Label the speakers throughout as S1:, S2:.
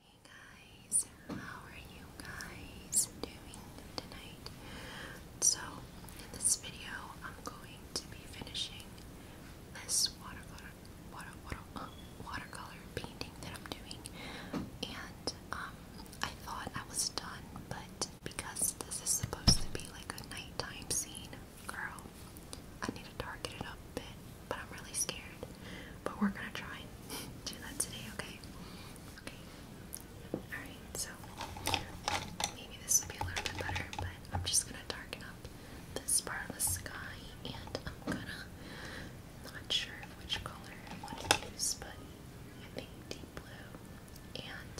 S1: Hey guys, how are you guys doing tonight? So, in this video, I'm going to be finishing this watercolor, painting that I'm doing. And um, I thought I was done, but because this is supposed to be like a nighttime scene, girl, I need to darken it up a bit but I'm really scared. But we're gonna try and do that today, okay? Okay. Alright, so maybe this will be a little bit better, but I'm just gonna darken up this part of the sky and I'm gonna not sure which color I want to use, but I think deep blue and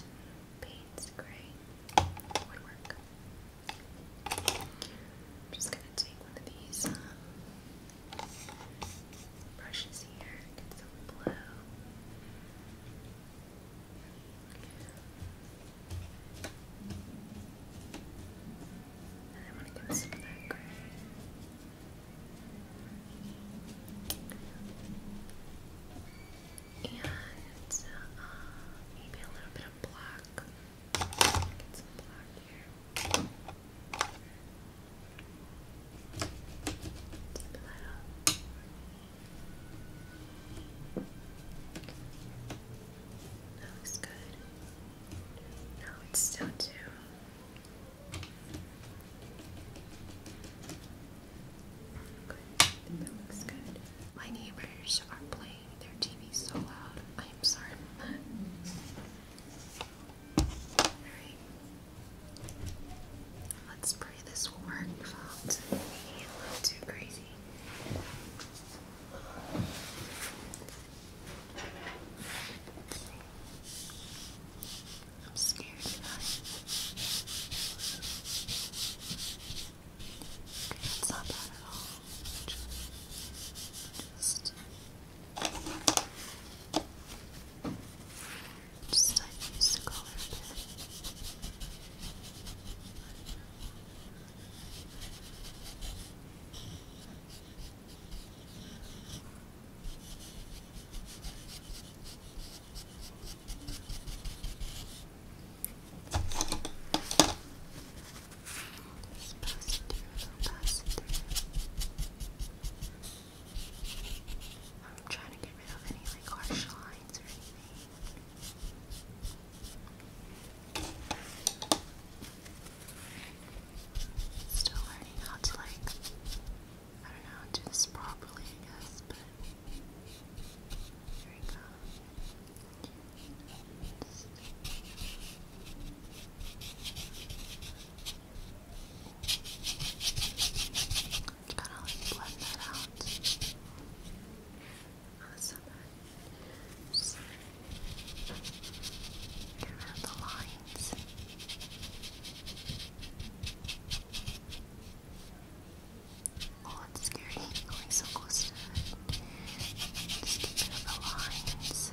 S1: Paints gray would work. just gonna take one of these um, Brushes here, some blue. And I want to get some of that gray. And uh, maybe a little bit of black that looks good. No, it's still too. That looks good. My neighbors are playing their TV so loud. I am sorry. Let's pray this will work without being too crazy. I'm scared tonight. Okay, that's not bad at all. Just, just like use the I'm trying to get rid of any like harsh lines or anything. Still learning how to like, I don't know, do this properly, I guess, but here we go. Kind of like blend that out. Awesome. Just get rid the lines. Oh, it's scary. Going so close to it. Just of the lines.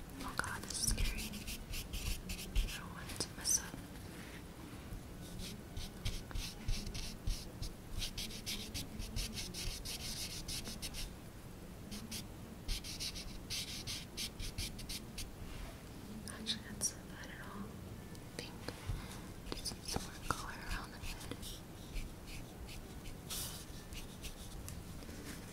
S1: Oh god, this is scary. I don't want to mess up. Actually, not at all. think just some more color around the head.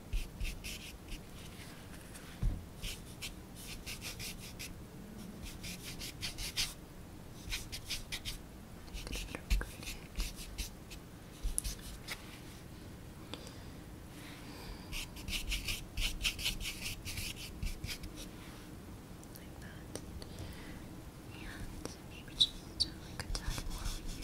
S1: Like that. And maybe just do uh, like a tad more here.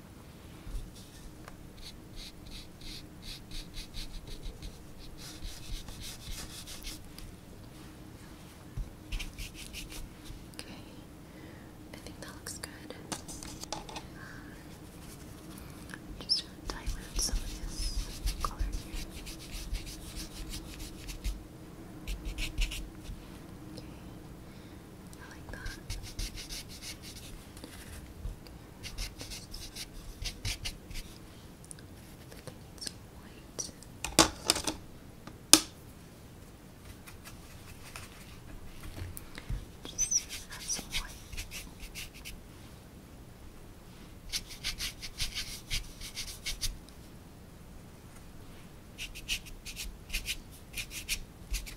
S1: Okay, I think that looks good. Just going some of this color here. Okay, I like that it's white. Just add some white. Okay.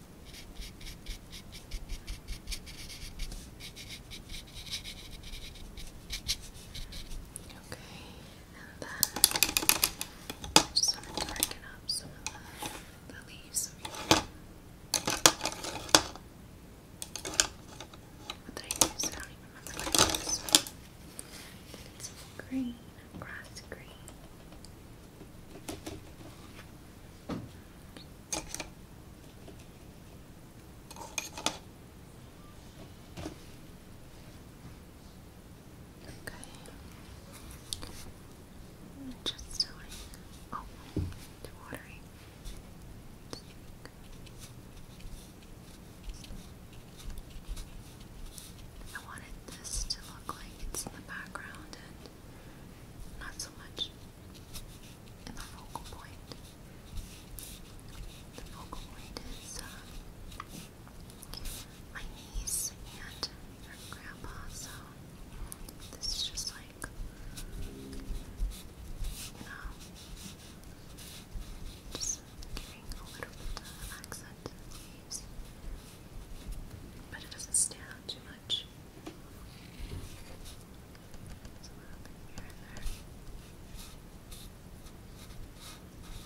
S1: Okay, and then uh, just want to darken up some of the, leaves What did I use? I don't even remember what I used. It's green, grass green. Okay. i just doing. Oh, too watery. I wanted this to look like it's in the background and not so much in the focal point. The focal point is uh, my niece and her grandpa, so this is just like, you um, know, just giving a little accent to the But it doesn't stand too much. Just a little bit here and there. Okay. So this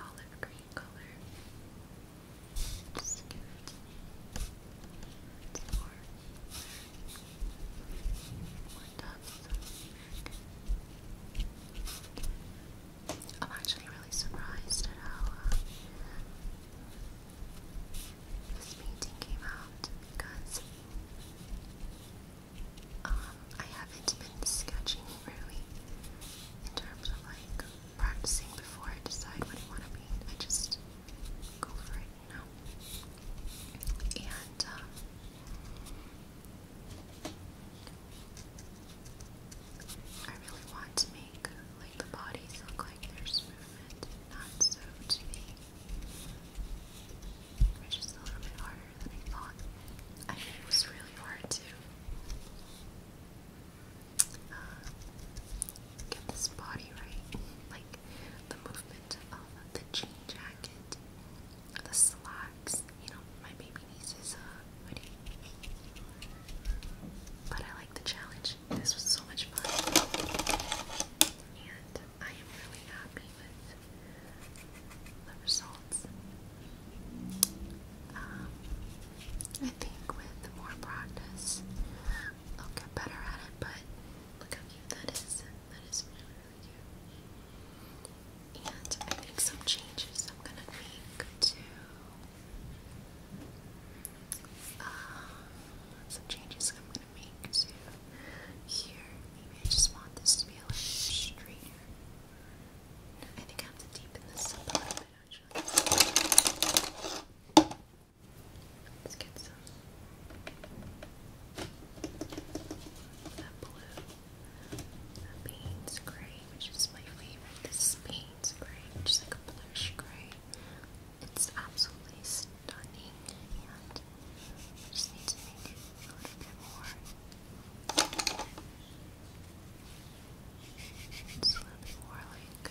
S1: olive green color. Just give it some more. There I'm actually really surprised at how uh, this painting came out because um, I haven't been sketching really in terms of like practicing before I decide what I want to be. I just go for it. No. And um, I really want to make the bodies look like there's movement, not so to me. Which a little bit harder than I thought. I mean, it was really hard to uh, get this body right. Like the movement of the jean jacket, the slacks. You know, my baby niece is a uh, hoodie. But I like the challenge. This was so much fun. And I am really happy with the results. Um, I think with more practice, I'll get better at it, but look how you. That is that is really, really cute. And I think some changes I'm gonna make to uh, some changes I'm gonna make to here. Maybe I just want this to be a little straighter. I think I have to deepen this up a little bit actually. Let's get some that blue. That beans gray, which is my favorite. This is gray, which is like a bluish gray. It's absolutely stunning, just need to make it a little bit more. It's a little bit more like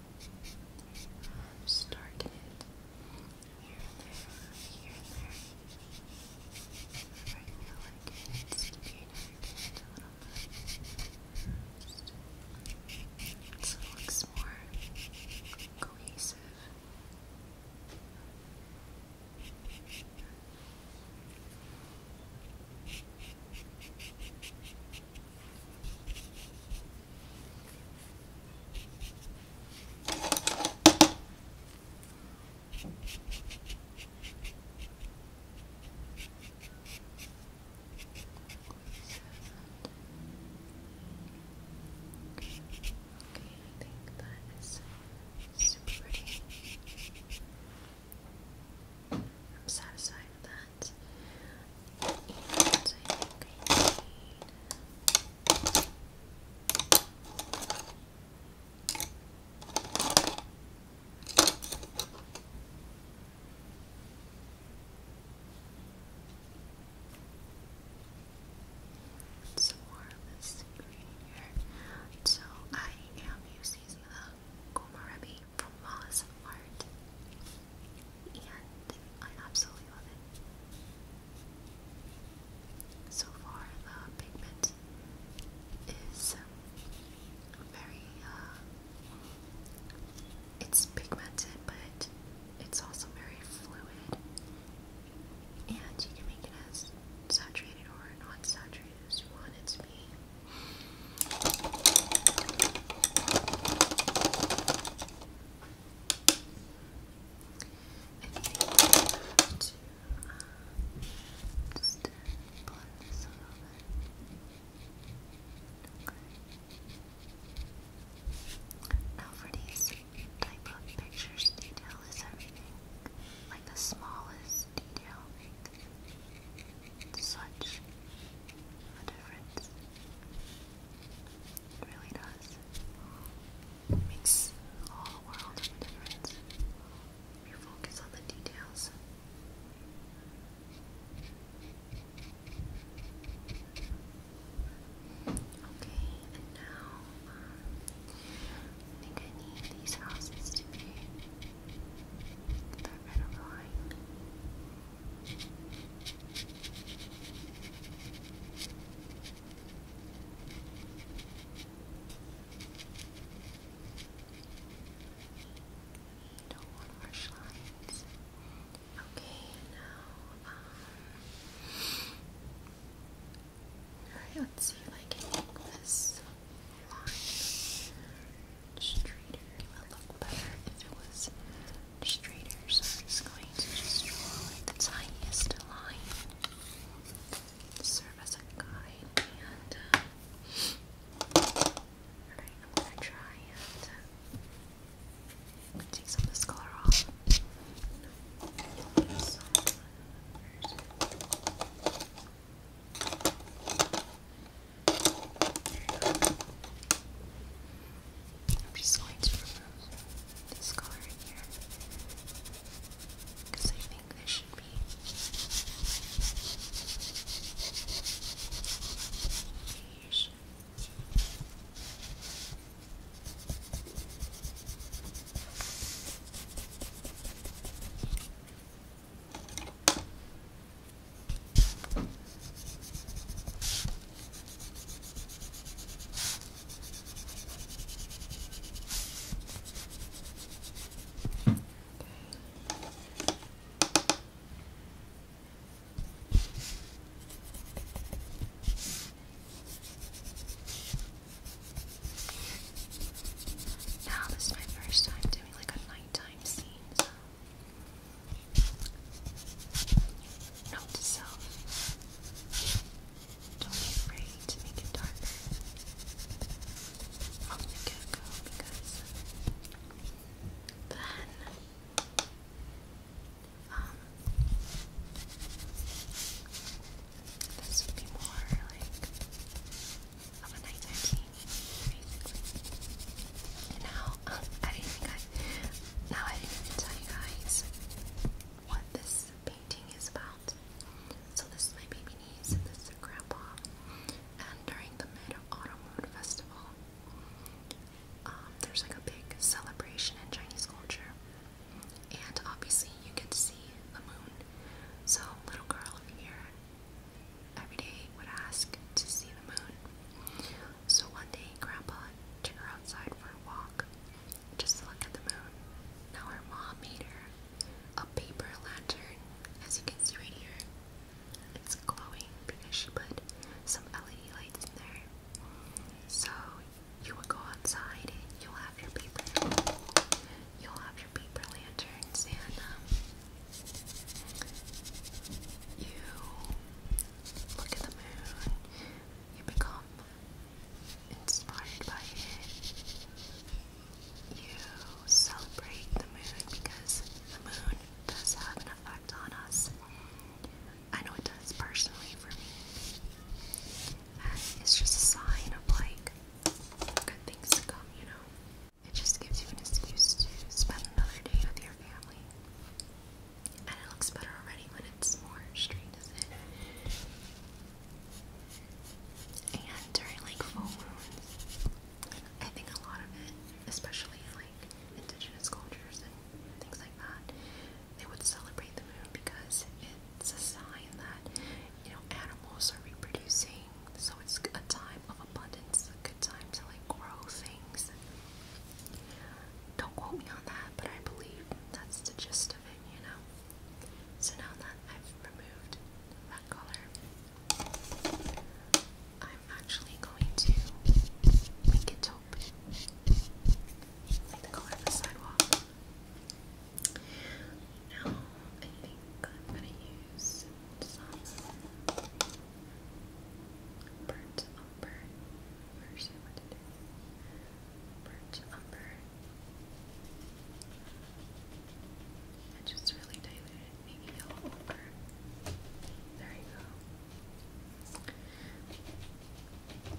S1: um, started here there, here and there. Whenever I feel like it, it's a little bit. Just so looks more cohesive that is super pretty. I'm satisfied with that. And I think green here. So I am using the Komarebi from Moss Art and I absolutely love it. So far, the uh, pigment is um, very, uh, it's pigmented, but it's also very fluid, and you can make it as saturated or non saturated as you want it to be to uh, Now for these type of pictures, detail is everything. Like the smallest detail makes such a difference. It really does. makes all whole world of a difference. You focus on the details. Okay, and now um, I think I need these houses to be that red line. Don't lines. Okay, now, um, alright, let's see if I can make this line It would look better if it was straighter, I'm just going to just draw the tiniest line serve as a guide. And uh, I'm gonna try and uh, take some of this color off. I'm just going to remove this color in here because I think this should be beige. Now this is my first time doing like a nighttime scene, Note to self. Don't be afraid to make it darker from the get-go because then um this would be more like of a nighttime scene basically. now um, I didn't think I now I didn't tell you guys what this painting is about. So this is my baby niece and this is grandpa. And during the Mid Autumn Mood Festival, um, there's like a big celebration in Chinese culture. And obviously you get to see the moon. So little girl over here every day would ask to see the moon. So one day, Grandpa took her outside for a walk just to look at the moon. Now, her mom made her a paper lantern, as you can see right here. It's glowing because she put some LED lights in there. So, you would go outside and you'll have your paper. You'll have your paper lanterns and um, you look at the moon you become inspired by it. You celebrate the moon because the moon does have an effect on us. I know it does personally for me. it's just a sign of like good things to come, you know? It just gives you an excuse to spend another day with your family. And it looks better already when it's more straight, doesn't it? And during like full moons, I think a lot of it, especially like indigenous cultures and things like that, they would celebrate the moon because it's a sign that, you know, animals are reproducing. So it's a time of abundance, a good time to like grow things. Don't quote me on that, but I believe that's the gist of it, you know? So now that I've removed that color, I'm actually going to make it taupe, like the color of the sidewalk. Now, I think I'm going to use burnt umber, what Birch umber. I just really diluted maybe yellow umber. There you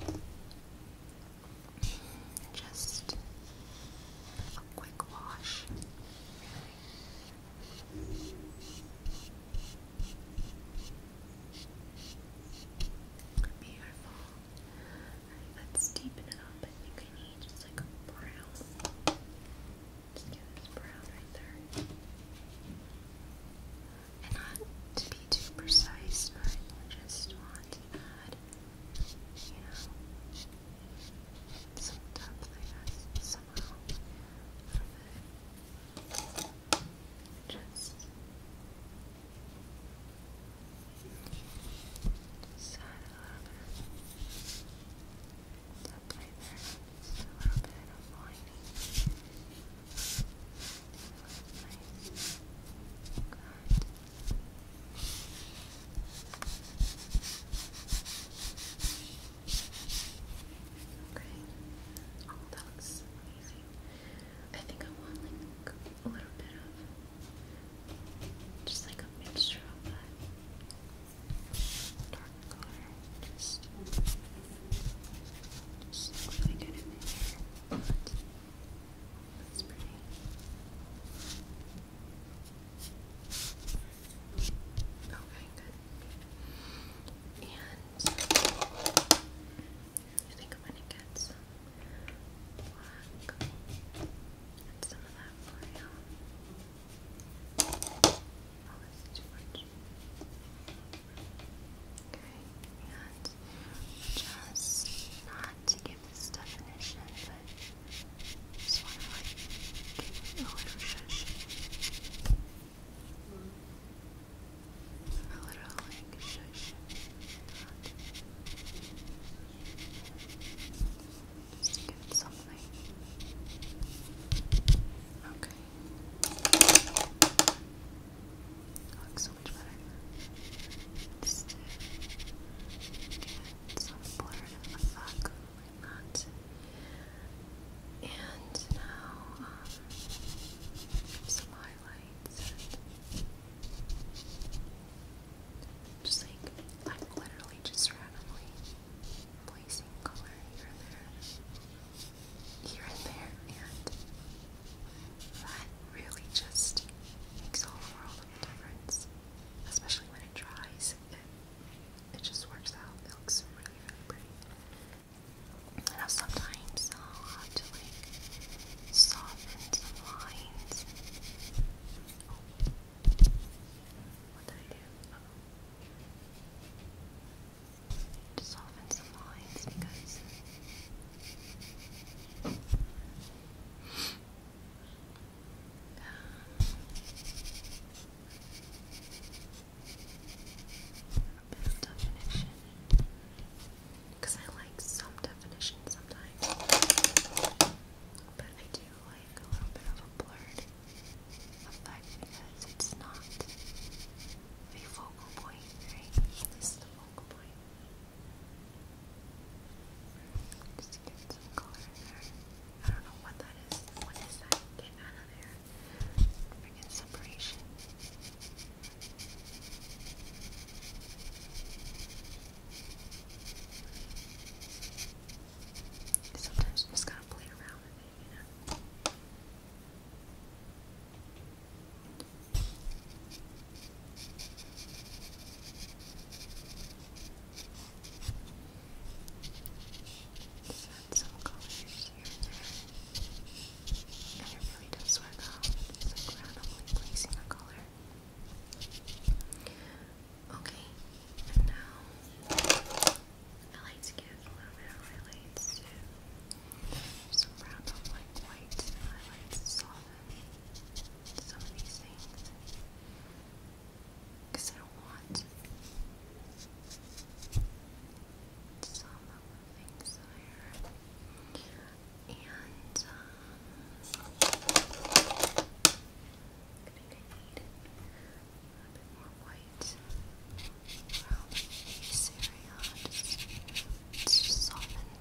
S1: go. Just a quick wash. Beautiful. let's deepen it up. I think I need just like a brown. Just get this brown right there. And not to be too precise, but just want to add, you know, some depth, I somehow just side a little bit. there, just a little bit of lining. Nice. Okay, that looks I think I want like a little bit of just like a mixture of dark color. Just, just quickly in there. That's pretty. Okay, good. And I think I'm going some of that L'Oreal. Oh, this is too much. Okay, just not give this definition, but just want to like give a little shush. A little like shush. Just get something. Okay. Looks so much better. Just get some blur in the back like And now, um, some high highlights. Just like I'm literally just randomly placing color here and there, here and there, and that really just makes a whole world of difference, especially when it dries. It, it just works out. It looks really, really pretty. Now sometimes I'll have to like soften some lines. What did I do? soften some lines because because I like some definition sometimes. But I do like a little bit of a blurred effect because it's not a focal point, right? This is the focal point. Just get some color in there. I don't know what that is. What is that? Get out of there. Freaking separation. Sometimes you just gotta play around with it, you know. add some colors here and it really does work out. Okay, and now I like to get a little bit Some random like white highlights some of these things. Because I don't want things there. And, I'm gonna need more white around this just to of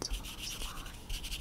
S1: those lines.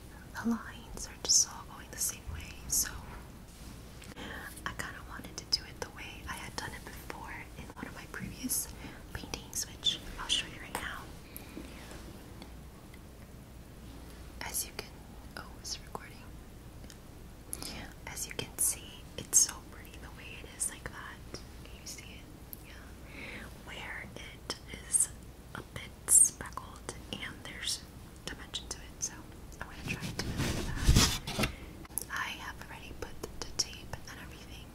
S1: the lines are just all going the same way, so I kind of wanted to do it the way I had done it before in one of my previous paintings, which I'll show you right now. As you can, oh, it's recording. As you can see, it's so pretty the way it is like that. Can you see it? Yeah. Where it is bit speckled and there's dimension to it, so I'm going to try to do that. I have already put the tape and everything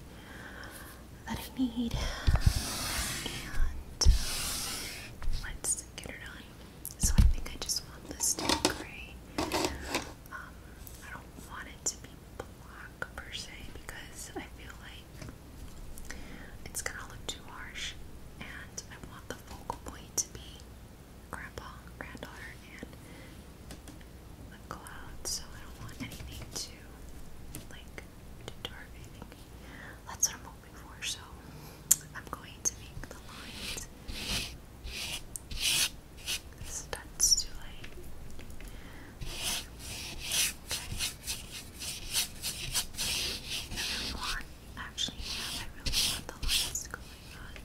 S1: that I need, and um, let's get it on. So I think I just want this to be gray. Um, I don't want it to be black per se because I feel like it's gonna look too harsh, and I want the focal point to be grandpa, granddaughter, and the clouds, so I don't want anything to like distort That's what I'm hoping for, so I'm going to make the lines. This starts to really want, actually, I really want the lights going on.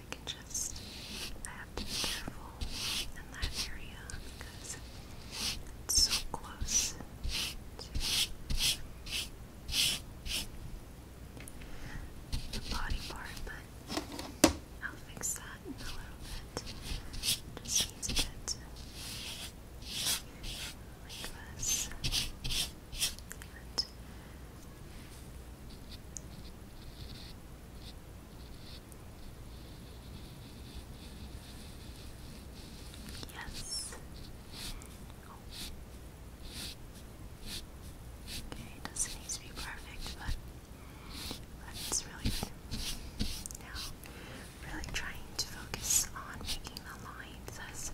S1: I can just, I have to be careful in that area because it's so close to the body part, I'll fix that. Just a bit. Yes. Okay, doesn't need to be perfect, but that's really good. Now, really trying to focus on making the lines as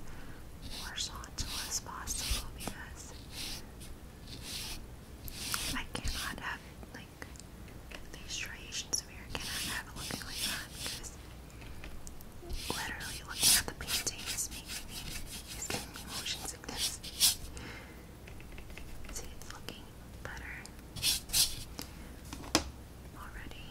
S1: horizontal as possible because I cannot have like these striations of cannot have it looking like that because literally looking at the painting is making me is giving me motion sickness. See it's looking already.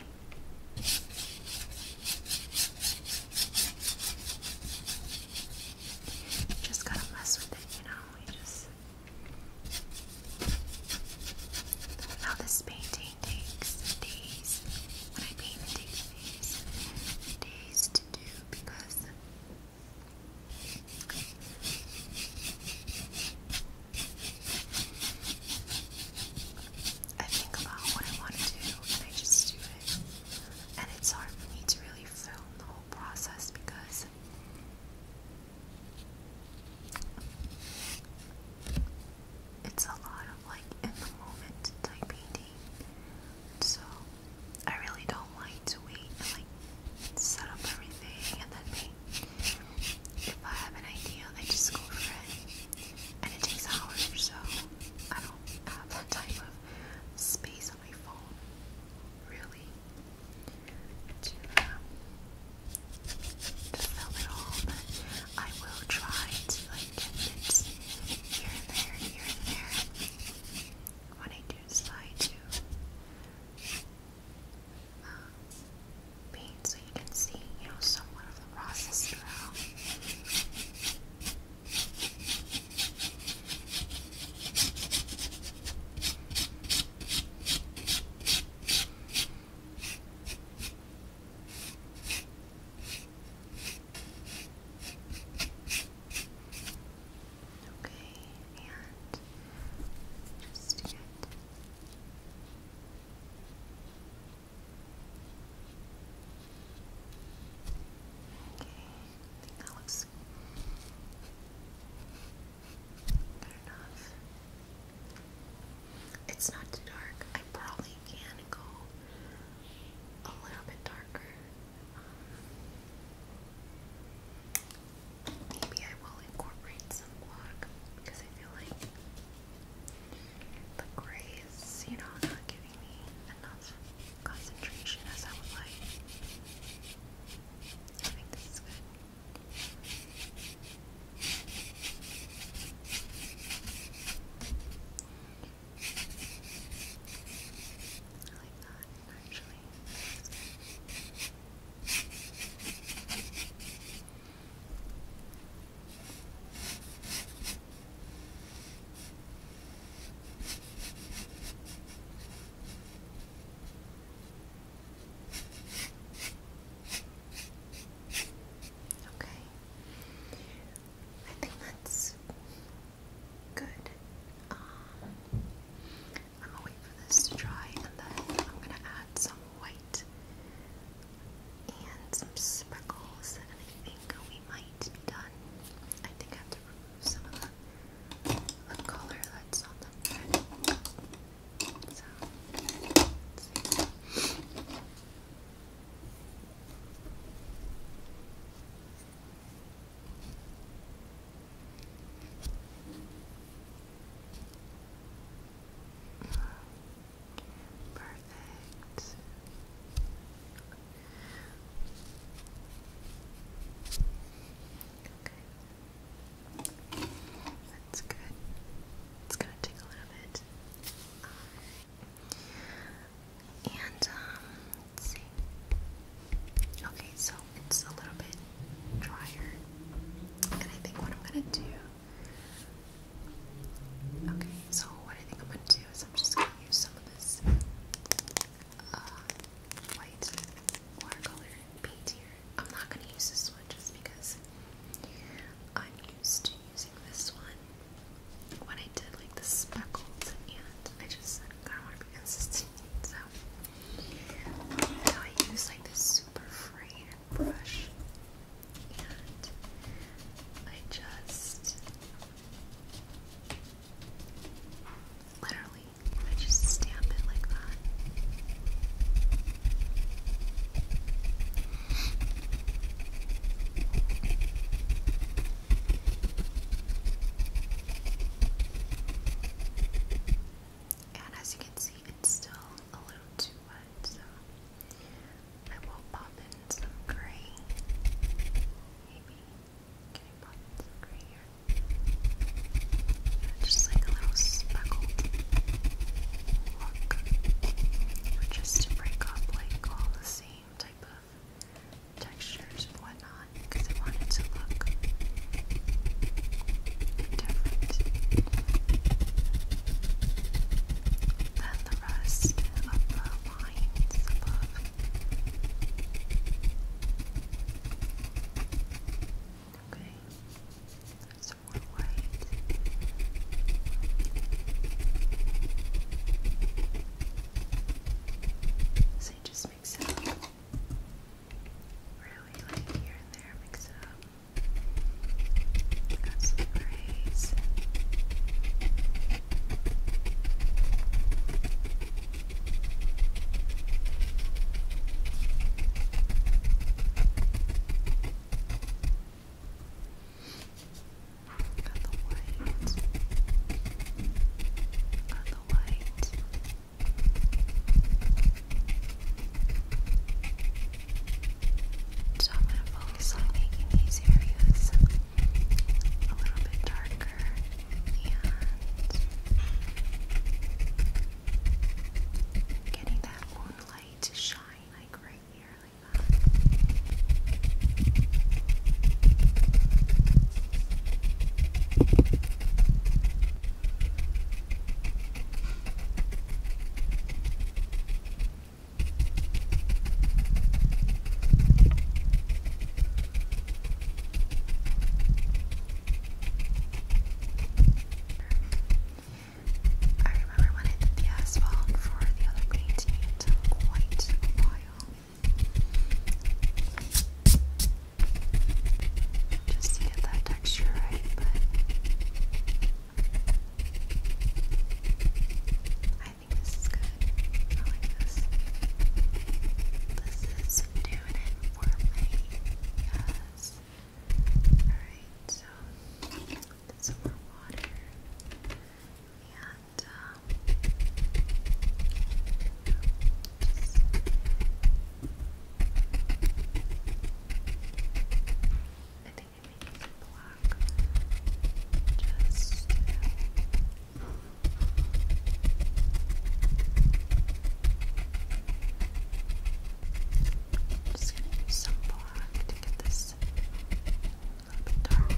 S1: just gotta mess with it, you know. You just now this painting takes days. When I paint, it takes days, days to do because. I think about what I want to do and I just do it. And it's hard for me to really film the whole process because it's a lot of like in the moment type painting. So I really don't like to wait and like set up everything and then paint. If I have an idea, I just go for it. And it takes hours or so. I don't have that type of space on my phone, really, to, um, to film it all. But I will try to like get bits here and there, here and there, when I do decide to um, so you can see, you know, somewhat of the process throughout. Okay, and just get that looks good enough. It's not too dark. I probably can go a little bit darker. Maybe I will incorporate some black because I feel like the gray you know, not giving me enough concentration as I would like. I think this is good. I like that, actually. Okay. I think that's good. Um, I'm for this to dry, and then I'm gonna add some white and some sprinkles, and I think we might be done. I think I have to remove some of the, color that's on the bread. Perfect. Okay. That's good. It's gonna a little bit. Um, and let's see. Okay, so it's a little bit drier. And I think what I'm gonna do Okay, so what I think I'm going to do is I'm just going to use some of this uh, white watercolor paint here. I'm not going to use this one just because I'm used to using this one when I did like the speckles and I just kind of want to be consistent. So, now I use like this super free brush and I just literally I just stamp it like that. And as you can see, it's still a little too so I will pop in some gray. Maybe. Can I in gray here? just like a little speckled look. Or just to break up like all the same type of textures and whatnot because I want to look different than the rest of the lines above. Okay, some more white. So you just mix it up. Really, like here and there, mix it up. We got some grays. Got the white. Got the white. So I'm going to focus on making these areas a little bit darker and getting that moonlight to shine like right here like that. I remember when I did the asphalt for the other painting, quite a while. Just to get that texture right, but I think this is good. I like this. This is doing it for me. Yes. Alright, so get some water. And um I think I may black just um, some black to get this a little bit darker.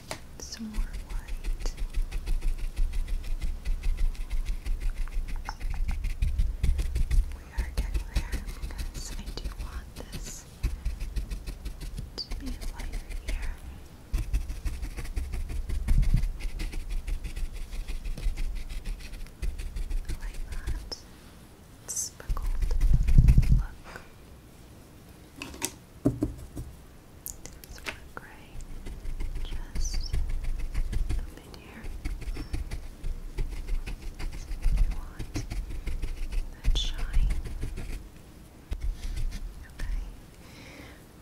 S1: some more white. We are getting there because I do want this to be lighter here. Like that speckled look. There's one gray just up in here. You want that shine. Okay.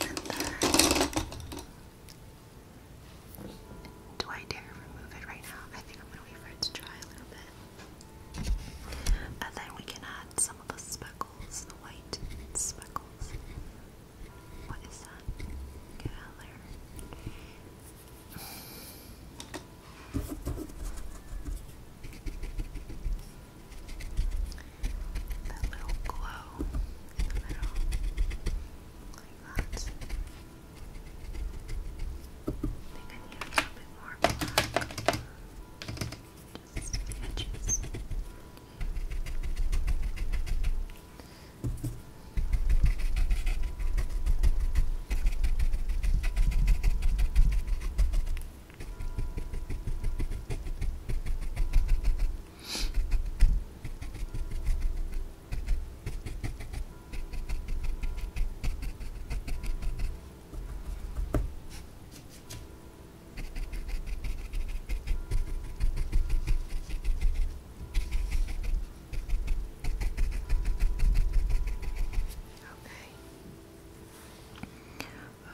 S1: do I dare remove it right now? I think I'm gonna wait for it to dry a little bit. And then we can add some of the speckles, the white speckles, what is that? Get That little glow in the middle. Like that. I think I need a little bit more edges, edges. Okay. Uh,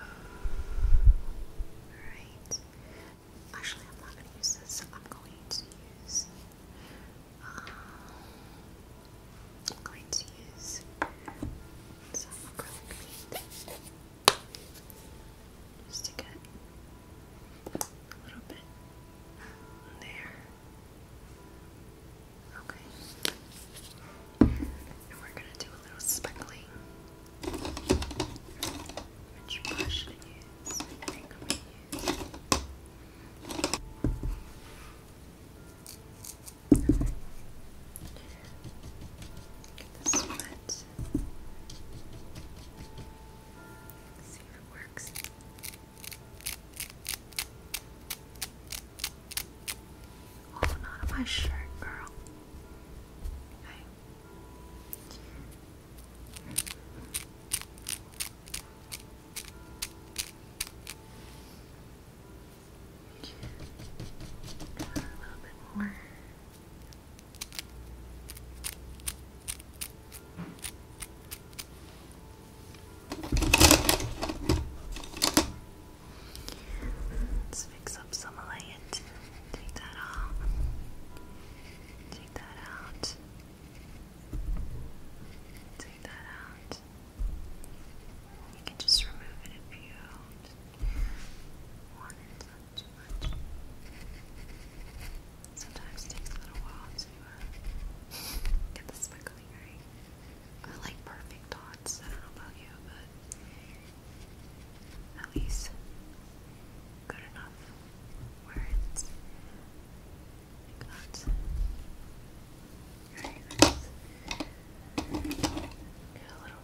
S1: Actually, I'm not going to use this. I'm going to use. Um, I'm going to use some acrylic Stick it a little bit there. Okay. And we're gonna do a little speckling. Which brush should I think I'm gonna use. Get this wet. Let's see if it works. Oh, not on my shirt, girl. Okay. A little bit more. Let's fix up some of Take that off. Take that out. Take that out. You can just remove it if you want it. Sometimes takes a little while to uh, get the right. I like perfect dots. I don't know about you, but at least good enough where it's not. Alright, a little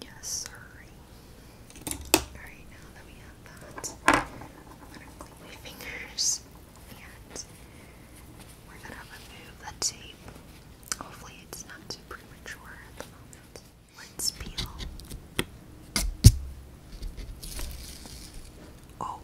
S1: Yes, sorry. Alright, now that we have that, I'm gonna clean my fingers and we're gonna remove the tape. Hopefully, it's not too premature at the moment. Let's peel. oh.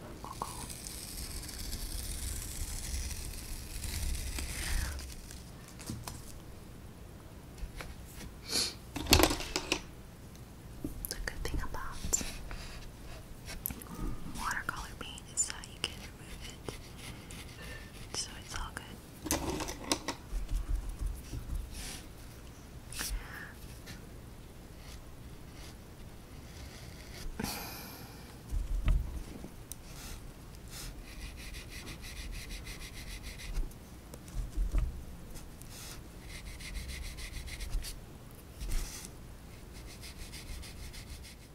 S1: The good thing about watercolor paint is that you can remove it, so it's all good.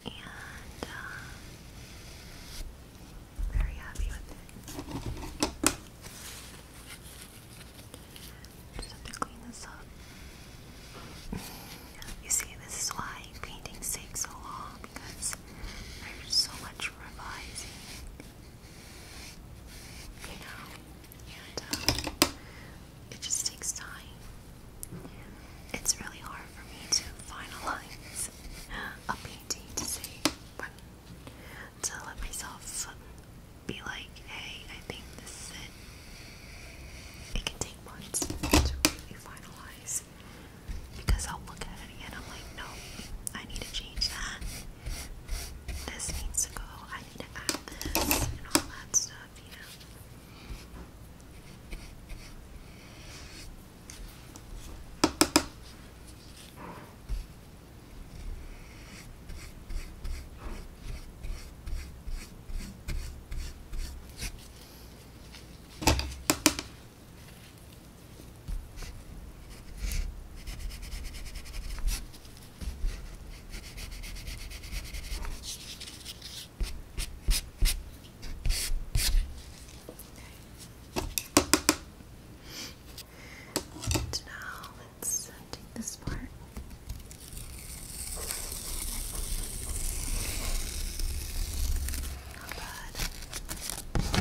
S1: And uh, very happy with it. Just have to clean this up. You see, this is why paintings take so long because there's so much revising you know, and um, it just takes time. It's really hard for me to finalize a painting to say to let myself be like, hey, I think this it. can take months to finalize because I'll look at it doing I'm like, no, I need to change that. This needs to go. I need to add this and all that stuff, you know. And now let's take this part. Not bad.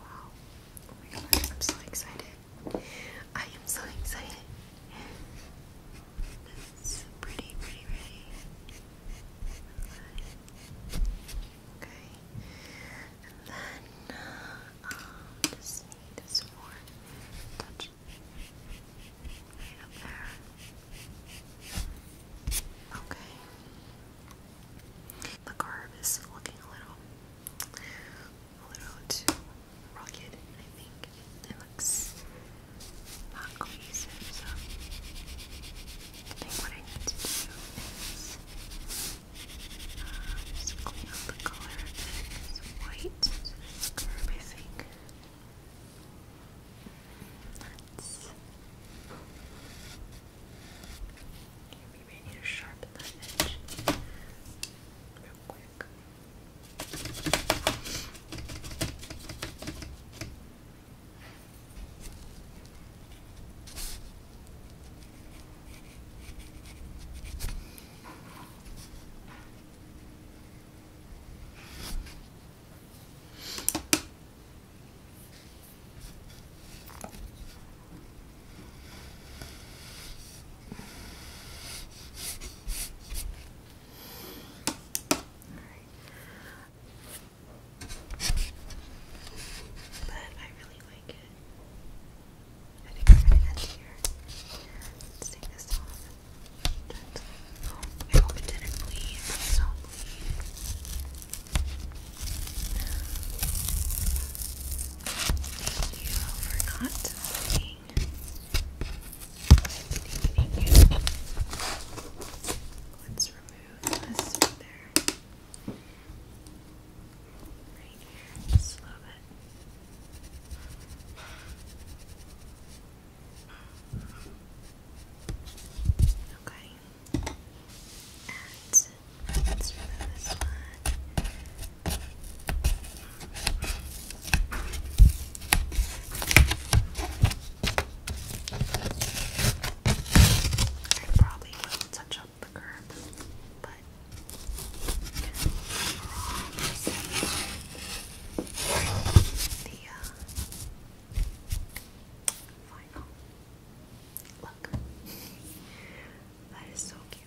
S1: Wow. Oh my god, I'm so excited. I am so excited. It's pretty, pretty, pretty. Okay. And then, uh, just need some more touch Right up Okay. The curve is looking a little, a little too rugged, I think. It looks not so I think what I need to do is uh, clean up the color white I think. Let's. Okay, maybe need to sharpen that real quick. But I really like it. I think I'm going to end here. Let's take this off. I hope it didn't bleed. Please Thank you Let's remove this Right here, just a little Okay. And let's remove this one. I probably will touch up the curb, but the uh, Final. Look. that is so cute.